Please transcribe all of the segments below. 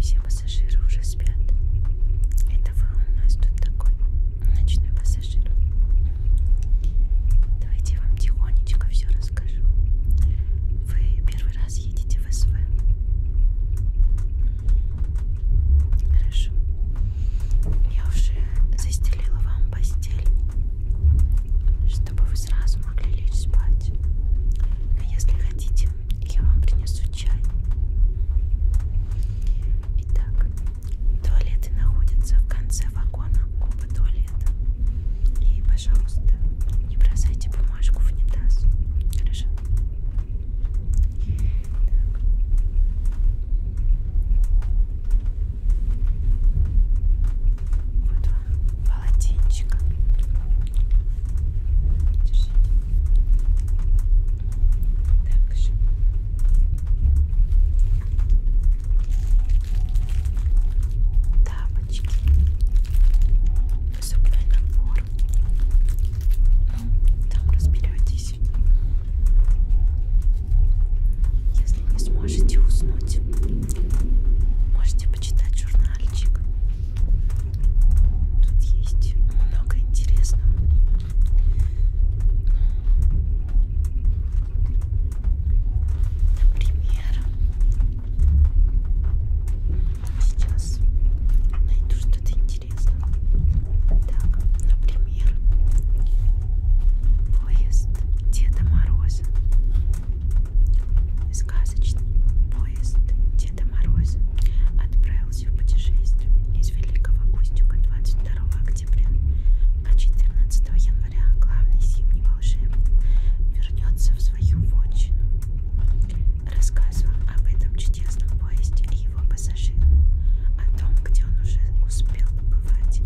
Все пассажиры уже спят. Это вы у нас тут такой ночной пассажир. Давайте я вам тихонечко все расскажу. Вы первый раз едете в СВ. Хорошо. Я уже застелила вам постель чтобы вы сразу могли лечь спать. Но а если хотите, я вам принесу чай. Итак, туалеты находятся в конце вагона оба туалета. И, пожалуйста, не бросайте бумажку в унитаз. Хорошо? Так. Вот вам полотенчик. Держите. Так же. Тапочки. Зубной набор. Ну, там разберетесь. Если не сможете уснуть, можете почитать журнальчик. Тут есть много интересного. Например, сейчас найду что-то интересное. Так, например например, поезд Деда Мороза. Сказочный поезд Деда Мороза отправился в путешествие из Великого Устюга 22 октября, а 14 января главный зимний волшебник вернется в свою вотчину. Рассказывал об этом чудесном поезде и его пассажирам, о том, где он уже успел побывать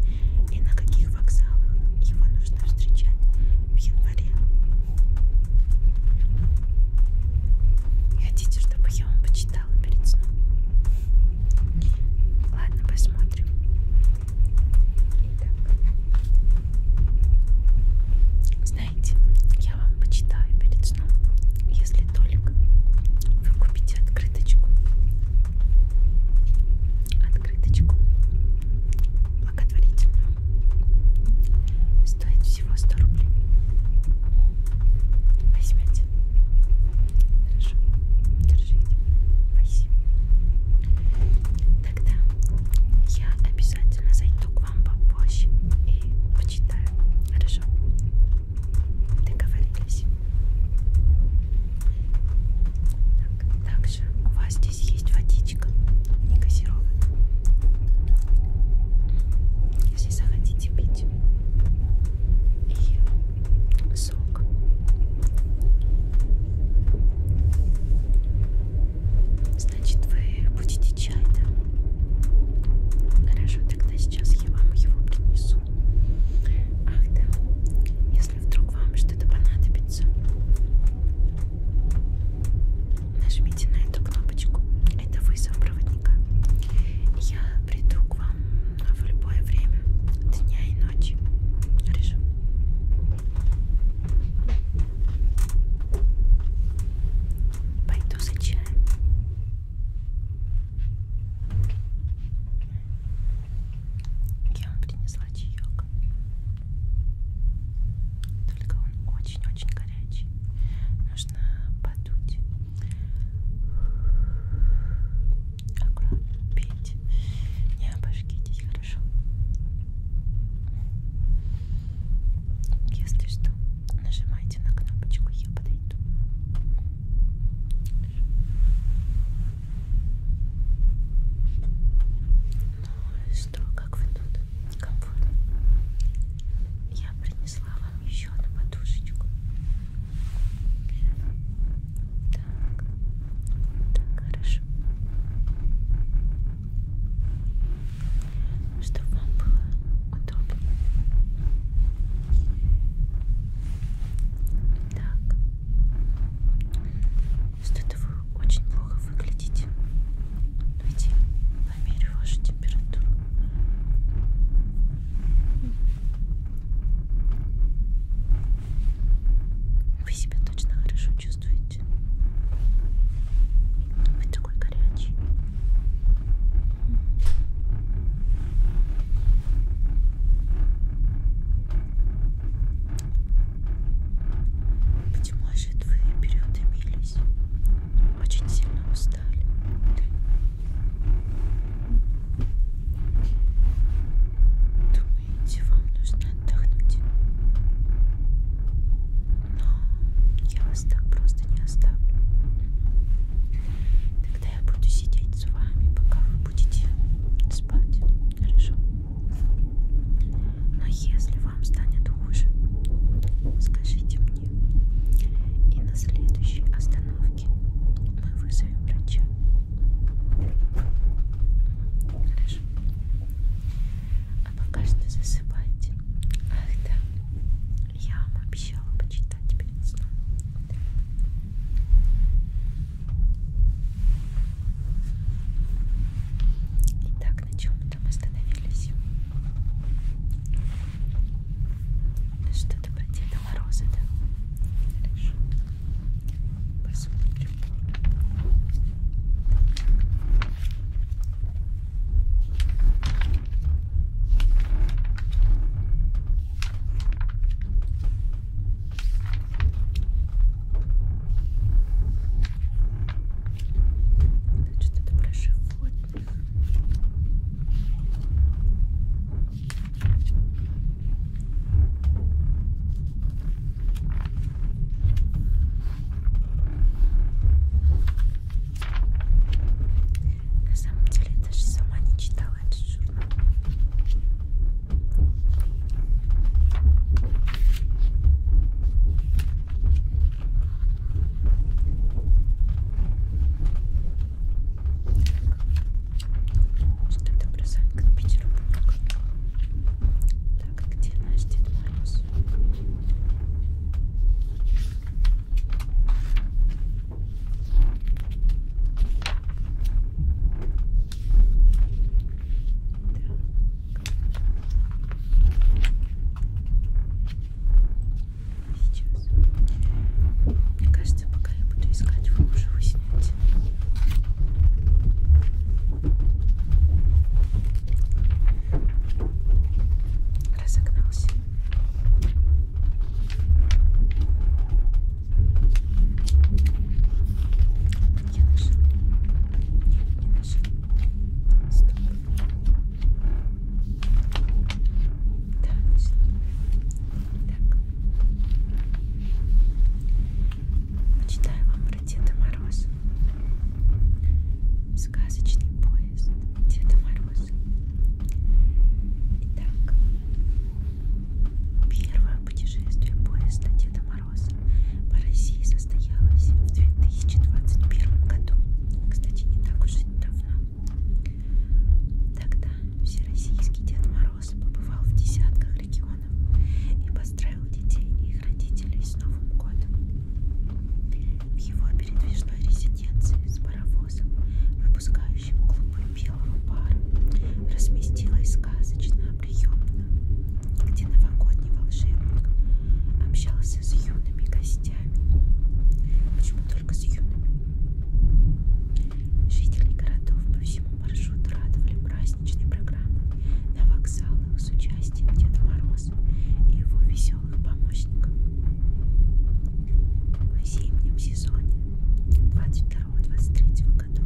и на каких вокзалах его нужно встречать в январе. Хотите, чтобы я вам почитала перед сном? Ладно, посмотрим. Итак. Знаете, я вам почитаю перед сном, если только вы купите открыточку открыточку благотворительную. Стоит всего 100 рублей. Возьмете. Хорошо. Держите. Спасибо. Тогда я обязательно зайду к вам попозже и почитаю. Хорошо? Договорились? Так, также у вас здесь есть водичка, не газированная. Если захотите пить и сок. Значит, вы будете чай, да? Хорошо, тогда сейчас я вам его принесу вкусно. Ах да, если вдруг вам что-то понадобится, нажмите на эту кнопочку. Это вызов проводника. Я приду к вам в любое время дня и ночи. Хорошо? Пойду за чаем. Я вам принесла чаек. Только он очень-очень горячий. Нужно подуть. Аккуратно пейте. Не обожгитесь, хорошо? Если что, нажимайте на кнопочку, я подойду. Ну что, как вы тут? Комфортно? Я принесла вам еще одну подушечку. Так, так хорошо. Чтобы вам было удобно. Так. Что-то вы очень плохо выглядите. Давайте померю вашу температуру. Вы себя точно хорошо чувствуете. Вы такой горячий. Почему же твои переутомились? Очень сильно устали. Думаете, вам нужно отдохнуть? Но я вас так просто не оставлю. Тогда я буду сидеть с вами, пока вы будете спать. Хорошо. Но если вам станет хуже, скажите мне. И на следующей остановке мы вызовем врача. Хорошо. А пока что засыпайте. Ах да, я вам обещала почитать перед сном. Итак, на чем там остановились? Что-то про Деда Мороза, да? Хорошо. Посмотрим. Это что-то про животных. На самом деле, я даже сама не читала открывать журнал. Что это бросанка на Петербург? Так, где наш Дед Мороз? Сейчас. Мне кажется, пока я буду искать, вы уже уснете. Разогнался. Я нашел. Я нашел. Стоп. Да, значит. Так. Почитаю вам про Деда Мороза. Сказочный поезд Деда Мороза. Итак, первое путешествие поезда Деда Мороза. Мороза по России состоялась в 2021 году. Кстати, не так уж и давно. Тогда всероссийский Дед Мороз побывал в десятках регионов и поздравил детей и их родителей с Новым годом. В его передвижной резиденции с паровозом, выпускающим клубы белого пара, разместилась сказочная приемно, где новогодний волшебник общался с юными гостями. Почему только с юными? Жители городов по всему маршруту радовали праздничной программы на вокзалах с участием Деда Мороза и его веселых помощников. В зимнем сезоне 22-23 году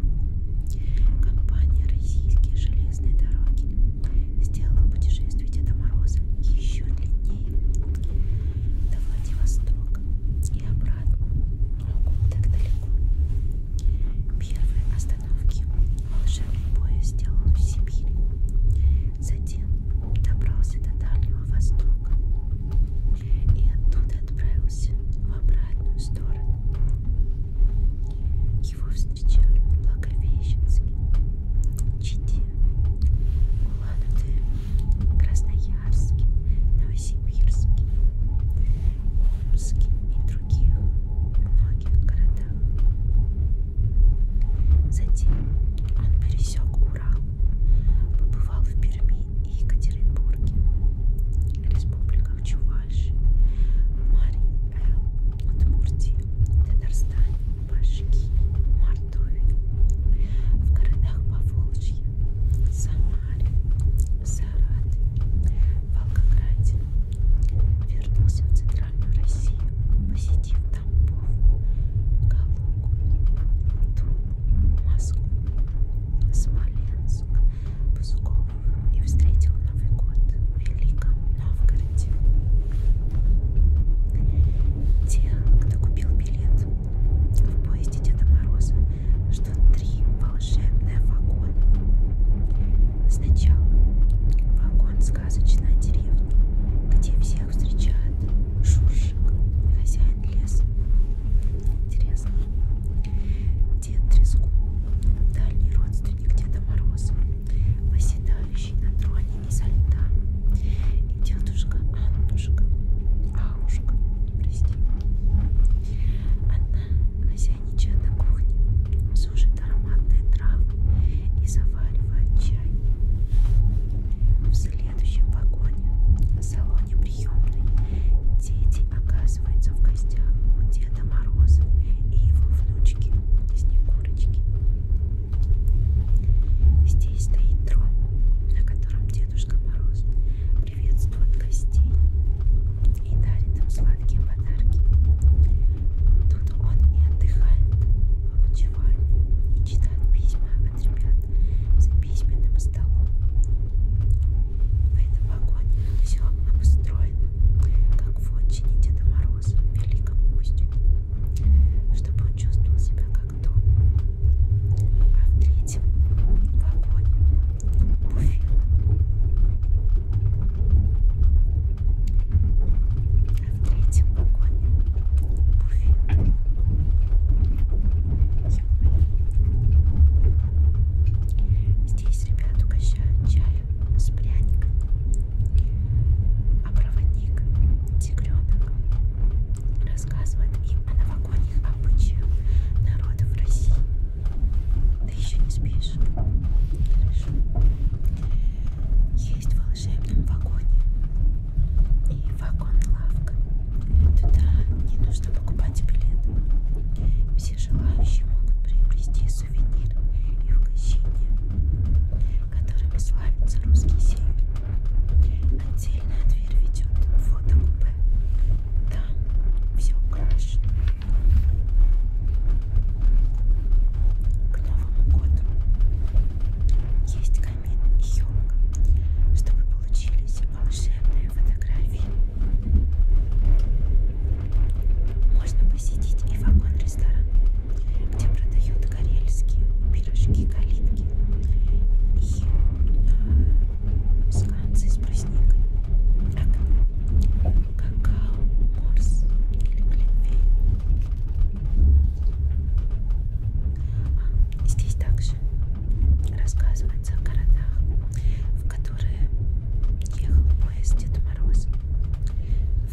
компания «Российские железные дороги» сделала путешествие Деда Мороза еще длиннее до Владивостока и обратно, но так далеко. Первые остановки волшебный поезд сделал в Сибири, затем добрался до Дальнего Востока и оттуда отправился направился в обратную сторону. Его встречали Благовещенский, Чите, Улан-Удэ, Красноярске, Новосибирске, Омске и других многих городах. Затем он пересек Урал, побывал в Перми и Екатеринбурге, республиках Чувашия, Паши, Марии Эл, Удмуртии, Татарстане, Башки, Мордовии, в городах Поволжья, Самаре, Саратове, Волгограде. Вернулся в Центральную Россию, посетив Тамбов, Калугу, Тулу, Москву, Смоленск, Псков, и встретил Новый год в Великом Новгороде. Те, кто купил билет в поезде Деда Мороза, что три волшебные вагона. Сначала вагон сказочная деревня, где всех встречает Шуршик, хозяин леса. Интересно. Дед Трескун, дальний родственник Деда Мороза, восседающий на троне изо льда. И дедушка Аннушка, Аушка, прости. Она хозяйничает на кухне, сушит ароматные травы и заваривает чай. В следующем вагоне, в салоне приемной, Дети оказываются в гостях у Деда Мороза и его внучки Снегурочки. Здесь стоит трон, на котором Дедушка Мороз приветствует гостей и дарит им сладкие подарки. Тут он и отдыхает в обучевании и читает письма от ребят за письменным столом. В этом вагоне все обустроено, как в отчине Деда Мороза в Великом Устюге, чтобы он чувствовал себя как дома. А в третьем вагоне буфет. А в третьем вагоне буфет. Здесь ребят угощают чаем с пряником. А проводник, тигренок, рассказывает им о новогодних обычаях народов России. Ты еще не спишь? Хорошо. Есть волшебный вагон и вагон-лавка. Туда не нужно покупать билет. Все все желающие могут приобрести сувениры и угощения, которыми славится русский север. Отдельная дверь ведет в фотокупе. Там все украшено. К Новому году есть камин и елка, чтобы получились волшебные фотографии. Можно посетить и вагон-ресторан, где продают карельские пирожки, калитки и э, сканцы с брусникой. Какао, морс или глинфей. А, здесь также рассказывается о городах, в которых которое ехал поезд Дед Мороз.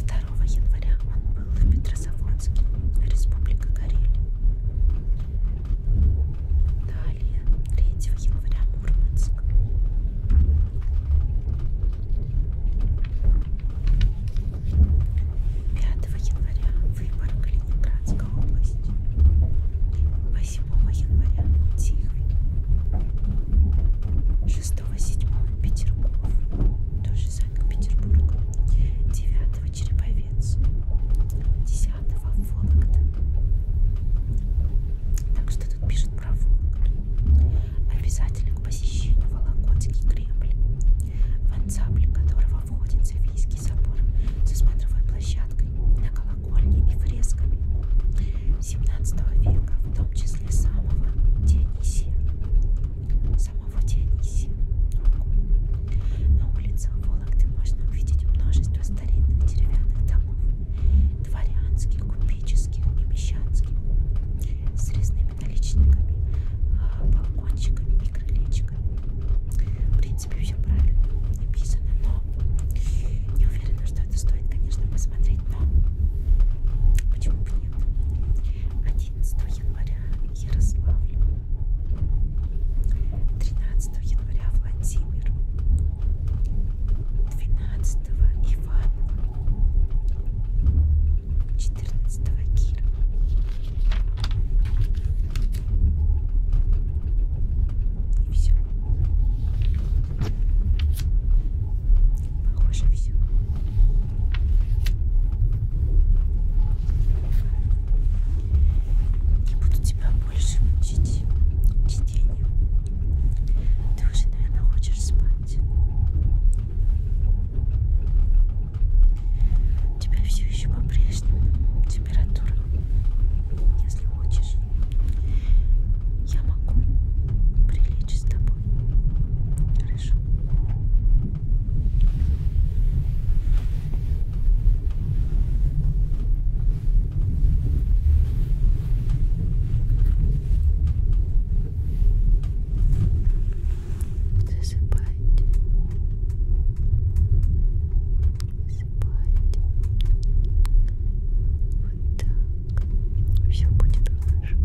2 января он был в Петрозаводске, Республика Карелия. Далее, 3 января Мурманск. Пятого января выбор Калининградской области. 8 7 января Тихвин, 6-7 Петергоф, тоже Санкт-Петербург, 9 Череповец, 10 Вологда. Так что тут пишет про Вологду. Обязательно к посещению Вологодский Кремль, в ансамбль которого входит Софийский собор со смотровой площадкой на колокольчиках колокольни и фресками XVII века, в том числе самого Дионисия. Самого Дионисия. На улицах Вологды можно увидеть множество старинных деревянных домов, дворянских, купеческих и мещанских, с резными наличниками, а, балкончиками и крылечками. В принципе, все правильно написано, но не уверена, что что это стоит, конечно, посмотреть, но почему бы нет? 11 января Ярославль, 13 января Владимир, 12 Иваново, 14 Киров. И все. Похоже все. Не буду тебя больше мучить чтением. Ты уже, наверное, хочешь спать. У тебя все еще по-прежнему температура. Если хочешь, я могу прилечь с тобой. Хорошо. Засыпайте. Засыпайте. Вот так. Все будет хорошо.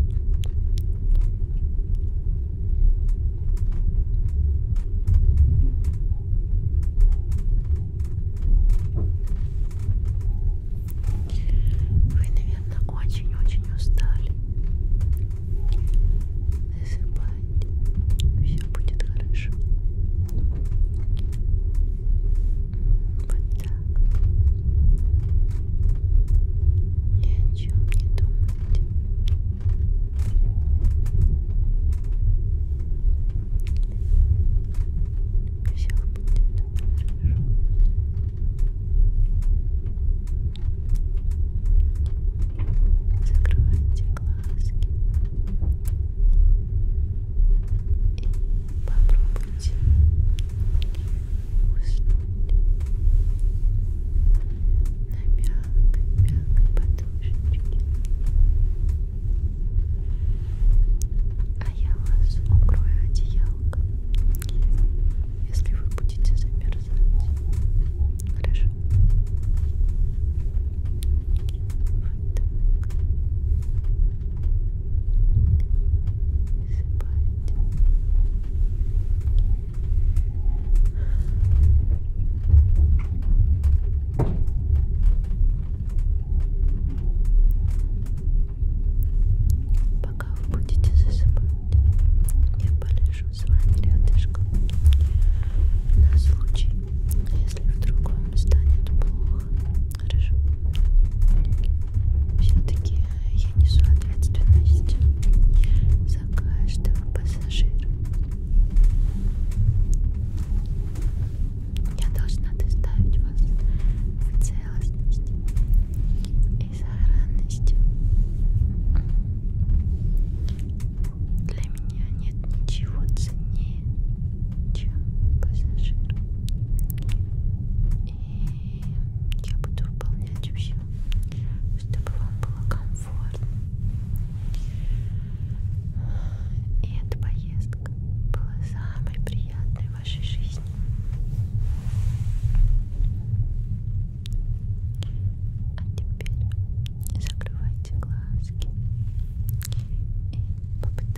Вы, наверное, очень-очень устали. Засыпайте. Все будет хорошо. Вот так ни о чем не думайте все будет хорошо закройте глазки и попробуйте уснуть на мягкой, мягкой подушечке. А я вас укрою одеялком, если вы будете замерзать. Хорошо? Вот так. Пока вы будете засыпать, я полежу с вами рядышком на случай, если вдруг вам станет плохо. Хорошо. Все-таки я несу ответственность за каждого пассажира. Я должна доставить вас в целостность и сохранность. Для меня нет ничего ценнее, чем пассажир. И и я буду выполнять все, чтобы вам было комфортно. И эта поездка была самой приятной в вашей жизни. А теперь закрывайте глазки и попытайтесь